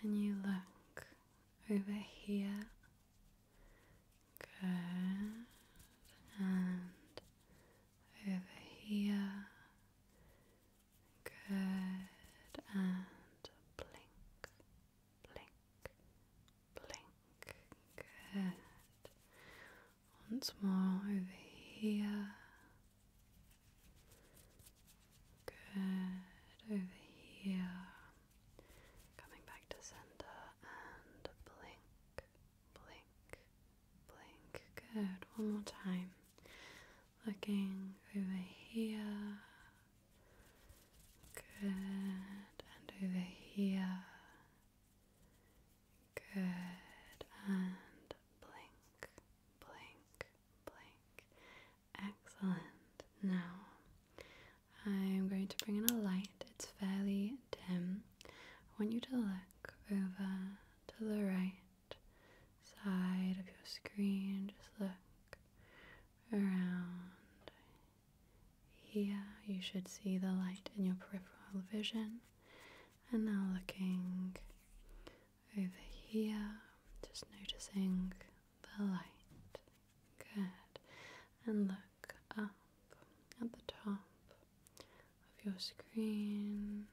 Can you look over here? Good. And over here. Good. And blink, blink, blink. Good. Once more over here. Good. Over here. Coming back to center and blink, blink, blink. Good. One more time. Looking over here. Good. And over here. Good. And blink, blank, blank. Excellent. Now, I'm going to bring in a light. It's fairly dim. I want you to look over to the right side of your screen. Just look around. Here, you should see the light in your peripheral vision and now looking over here, just noticing the light. Good. And look up at the top of your screen.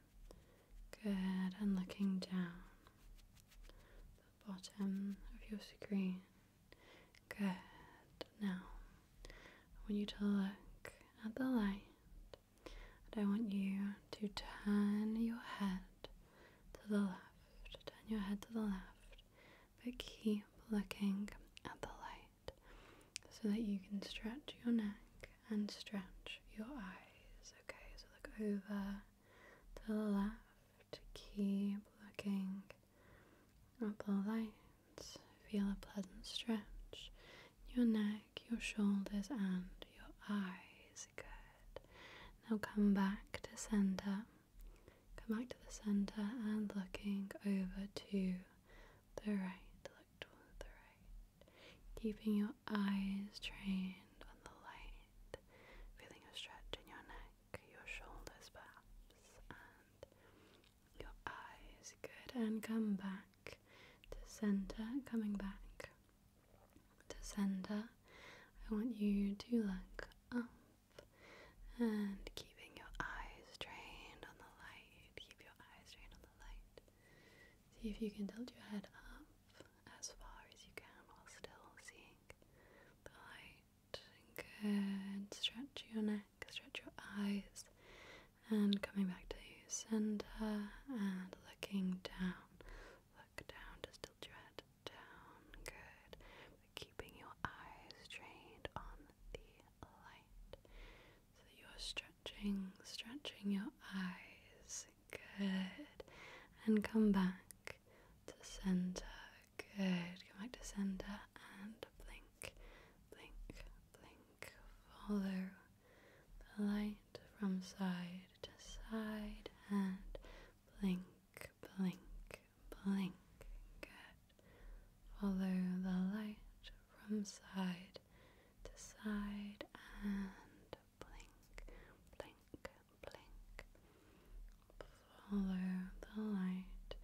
Good. And looking down the bottom of your screen. Good. Now, when you look at the light I want you to turn your head to the left. Turn your head to the left, but keep looking at the light so that you can stretch your neck and stretch your eyes. Okay, so look over to the left. Keep looking up the lights. Feel a pleasant stretch your neck, your shoulders, and your eyes. Good. Now come back to center. Come back to the center and looking over to the right. Look toward the right. Keeping your eyes trained on the light. Feeling a stretch in your neck, your shoulders perhaps, and your eyes. Good. And come back to center, coming back to center. I want you to look up and keeping your eyes trained on the light. Keep your eyes trained on the light. See if you can tilt your head up as far as you can while still seeing the light. Good. Stretch your neck, stretch your eyes, and coming back to center and looking down. Look down, just tilt your head down. Good. keeping your eyes trained on the light. So you're stretching, stretching your eyes. Good. And come back to center. Good. Come back to center and blink, blink, blink. Follow the light from side to side and blink, blink, blink. Good. Follow the light from side to side and blink, blink, blink. Follow the light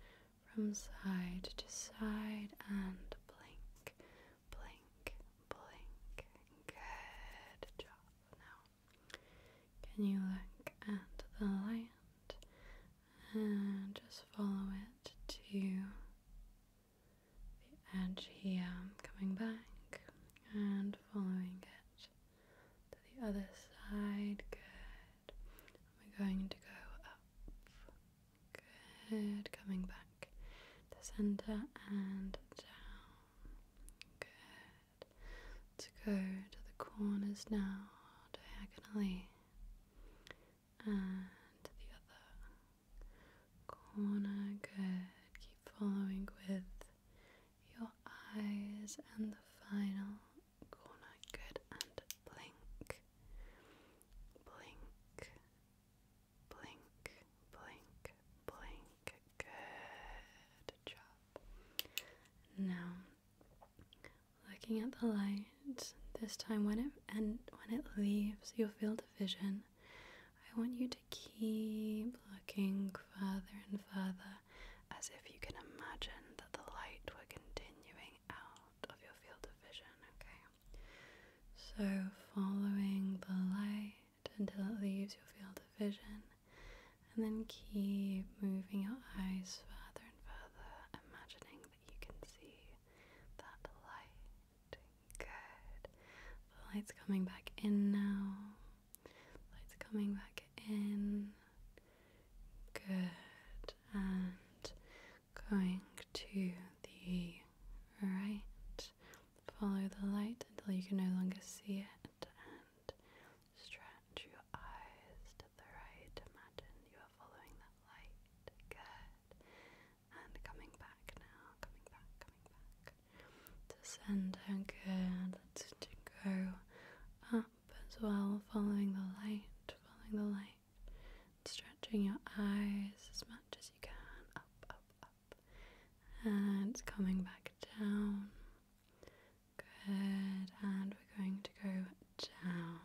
from side to side and blink, blink, blink. Good job. Now, can you look at the light and just follow it to the edge here, coming back and following it to the other side. Good. we're going to go up, Good. Coming back to center and down. Good. to go to the corners now, diagonally, and the other corner. Good. Keep following with your eyes and the final corner. Good. And blink. Blink. Blink, blink, blink. Good job. Now, looking at the light, this time when it and when it leaves, your field of vision. I want you to keep looking further and further as if you can imagine that the light were continuing out of your field of vision, okay? So, following the light until it leaves your field of vision, and then keep moving your eyes further and further, imagining that you can see that light. Good. The light's coming back in now. light's coming back in. Good. And going to the right. Follow the light until you can no longer see it and stretch your eyes to the right. Imagine you are following that light. Good. And coming back now, coming back, coming back. To center, good. Let's go up as well, following the light, following the light. Stretching your eyes as much as you can, up, up, up, and coming back down. Good, and we're going to go down,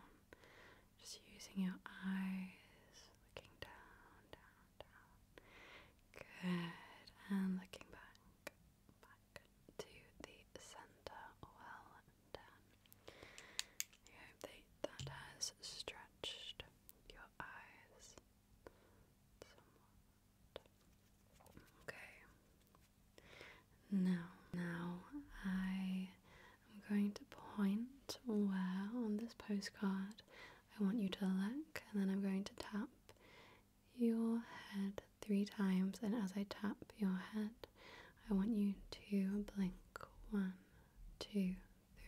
just using your eyes, looking down, down, down. Good, and looking back, back to the center. Well um, 10. that has stretched your eyes Okay. Now, now I am going to point where on this postcard I want you to look, and then I'm going to tap your head three times. And as I tap your head, I want you to blink one, two,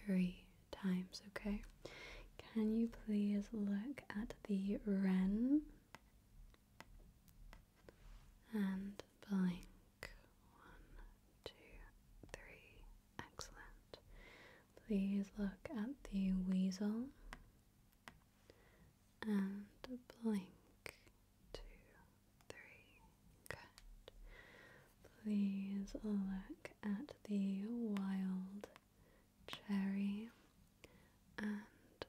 three times, okay? Can you please look at the ren and blink? One, two, three. Excellent. Please look at the weasel and blink. Two, three. Good. Please look at the wild cherry and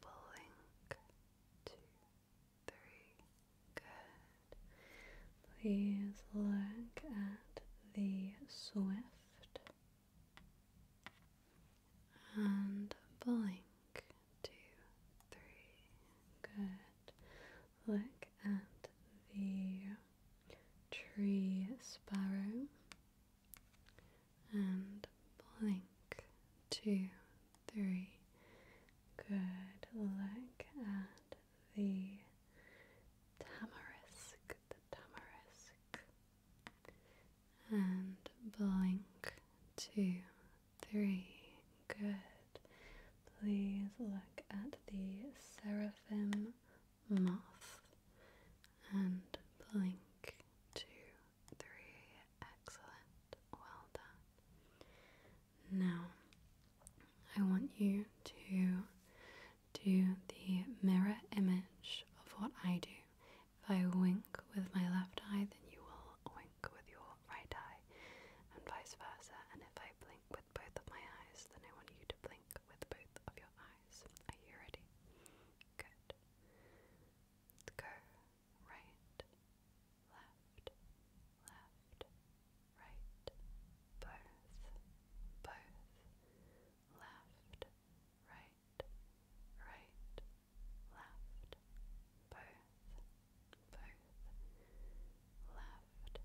blink. Two, three. Good. Please look at the swift and blink two, three. Good. Look at the tree sparrow and blink. Two, three. Good. Look at the tamarisk. The tamarisk. And blink. Two, three. Good. Please look at the seraphim moth and blink. Two, three. Excellent. Well done. Now, I want you to do the mirror image of what I do. If I wink with my left eye, then you will wink with your right eye, and vice versa. And if I blink with both of my eyes, then I want you to blink with both of your eyes. Are you ready? Good. Go right, left, left, right, both, both, left, right, right, left, both both left,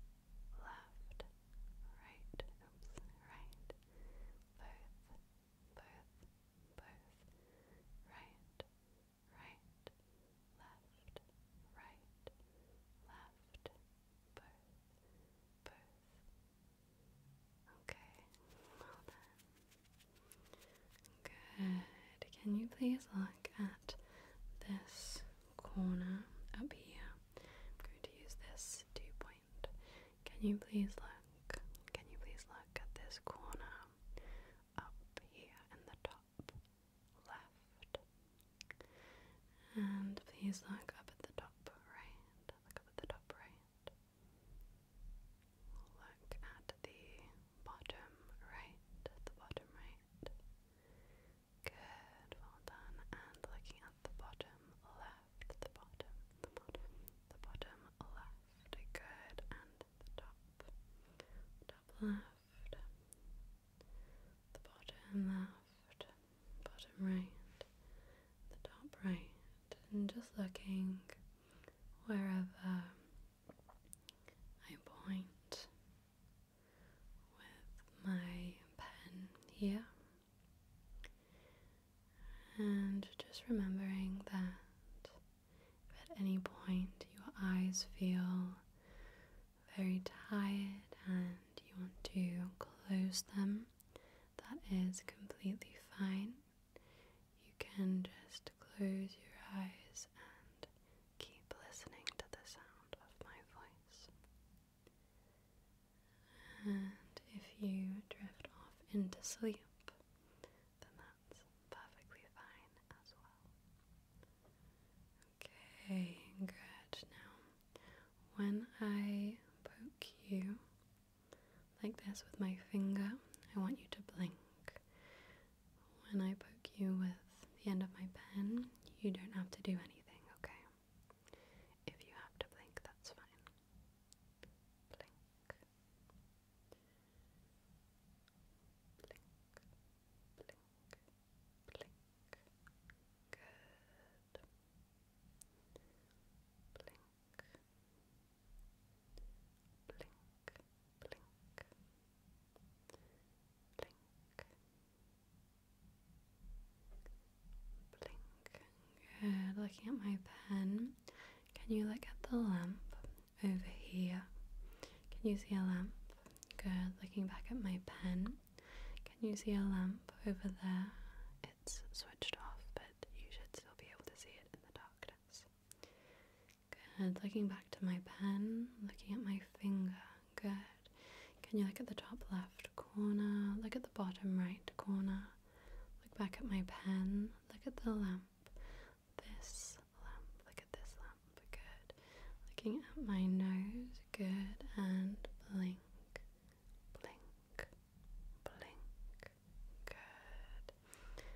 left, right, oops, right, both, both, both, right, right, left, right, left, both, both. Okay, well done. Good. Can you please look at this corner up here? I'm going to use this dew point. Can you please look? Can you please look at this corner up here in the top left? And please look up at the top right. Look up at the top right. Look at the bottom right, the bottom right. Good, well done. And looking at the bottom left, the bottom, the bottom, the bottom left. Good, and the top, top left, the bottom left, bottom right, the top right. And just looking wherever I point with my pen here, and just remembering that at any point your eyes feel very tired and you want to close them, that is completely fine you can just close your eyes and keep listening to the sound of my voice. And if you drift off into sleep, then that's perfectly fine as well. Okay, good. Now, when I poke you like this with my finger, I want you to blink when I poke you with the end of my pen, you don't have to do anything, okay? If you have to blink, that's fine. Blink. Blink. Blink. Blink. Good. Blink blink, blink, blink, blink. Good. Looking at my pen, can you look at the lamp over here? Can you see a lamp? Good. Looking back at my pen, can you see a lamp over there? It's switched off, but you should still be able to see it in the darkness. Good. Looking back to my pen, looking at my finger. Good. Can you look at the top left corner? Look at the bottom right corner. Look back at my pen. Look at the lamp. This lamp. Look at this lamp. Good. Looking at my nose. Good. And blink. Blink. Blink. Good.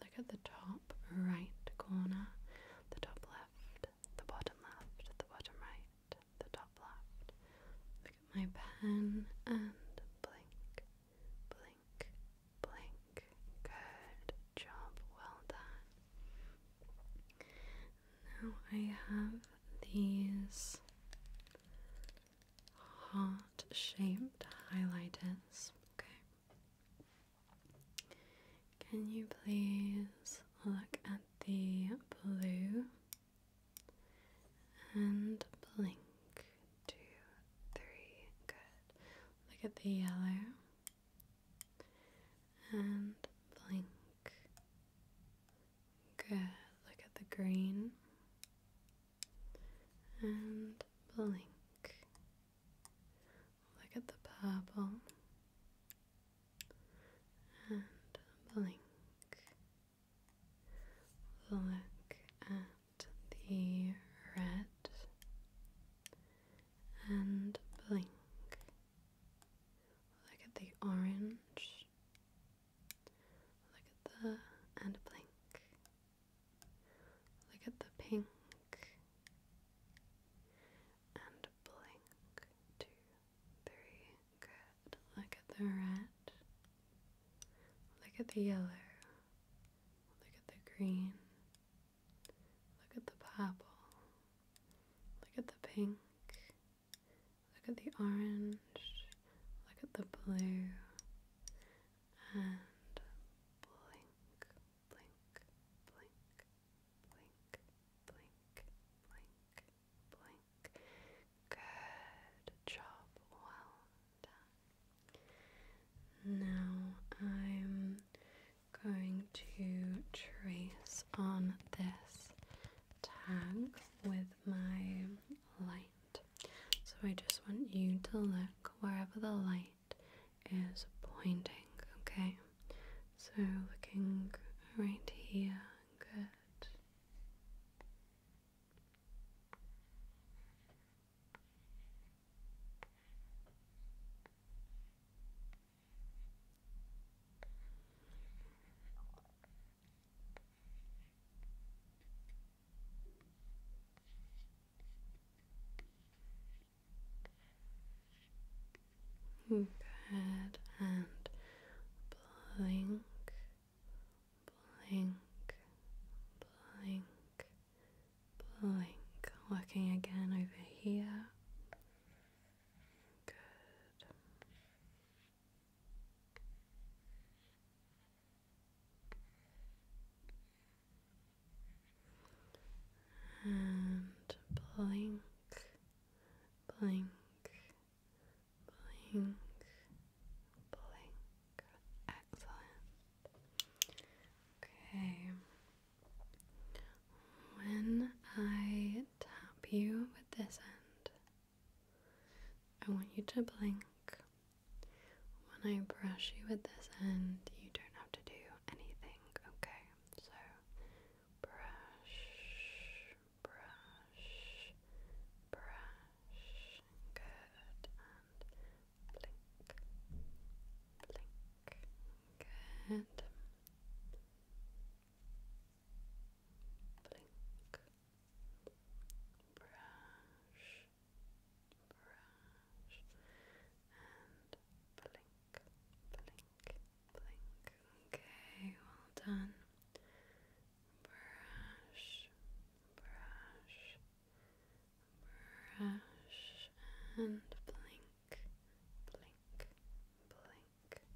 look at the top right corner, the top left, the bottom left, the bottom right, the top left. Look at my pen and blink, blink, blink. Good job, well done. Now I have these heart shaped highlighters. Okay. Can you please look at the blue and blink? Two, three, good. Look at the yellow and blink. Good. Look at the green and blink. Look at the purple and blink. Look at the red and blink. Look at the orange. Look at the and blink. Look at the pink and blink. Two, three. Good. Look at the red. Look at the yellow. Look at the green. Look at the purple. Look at the pink. Look at the orange. Look at the blue. And blink blink, blink, blink, blink, blink, blink. Good job, well done. Now I'm going to trace on this tag with my light. So I just want you to look wherever the light is pointing, okay? So looking right here, good. Good and blink, blink, blink, blink. Working again over here. Good and blink, blink, blink, blink. Excellent. Okay. When I tap you with this end, I want you to blink when I brush you with this end, you don't have to do anything, okay? So brush, brush, brush. Good. And blink, blink. Good. Blink, brush, brush and blink, blink, blink. Okay, well done. Brush, brush, brush, and blink, blink, blink. Good.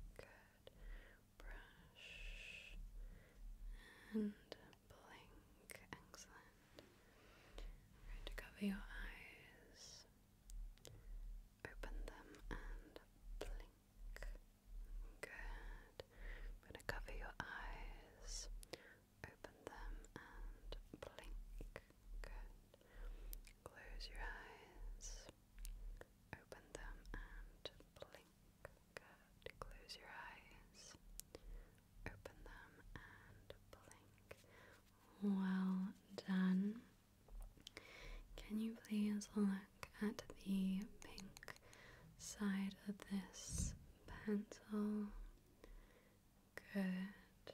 Brush and blink. Excellent going to cover your eyes, open them, and blink. Good. going to cover your eyes, open them, and blink. Good. Close your eyes, open them, and blink. Good. Close your eyes, open them and blink. Well done. Can you please look at the pink side of this pencil? Good.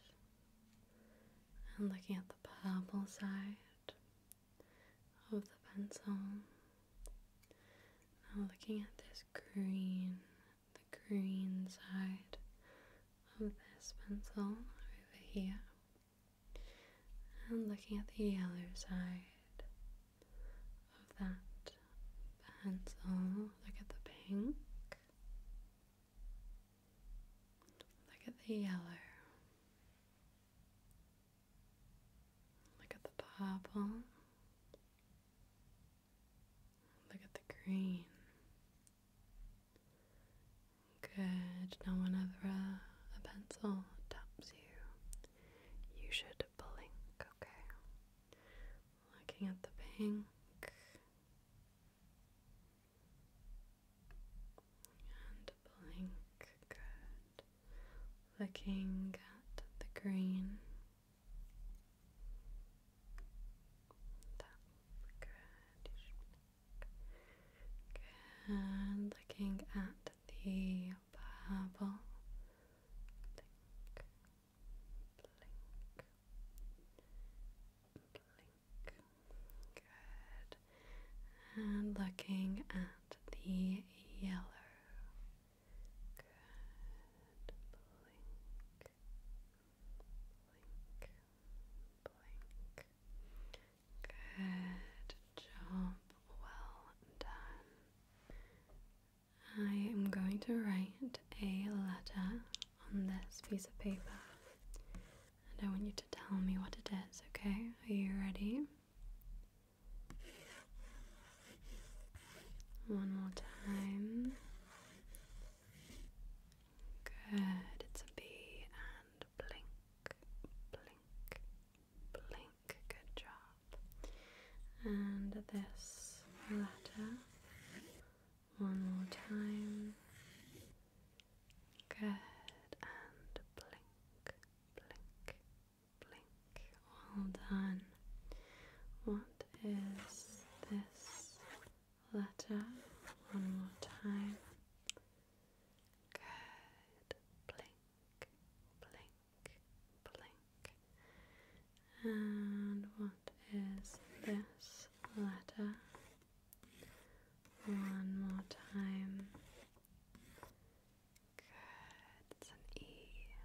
And looking at the purple side of the pencil. Now looking at this green the green side of this pencil over here and looking at the yellow side of that pencil. Look at the pink. Look at the yellow. Look at the purple. Look at the green. Good. Now, whenever a, uh, a pencil taps you, you should blink, okay? Looking at the pink. And blink, good. Looking at the green. That's good. You Looking at the bubble. Blink, blink, blink. Good. And looking at the yellow. Good. Blink. Blink. Blink. Good job. Well done. I am going to write a letter on this piece of paper. And I want you to tell me what it is, okay? Are you ready? One more time. Good, it's a B and blink, blink, blink. Good job. And this letter. One more time. Good, and blink, blink, blink. Well done. What is this letter? One more time. Good. Blink, blink, blink. And what is this letter? One more time. Good. It's an E,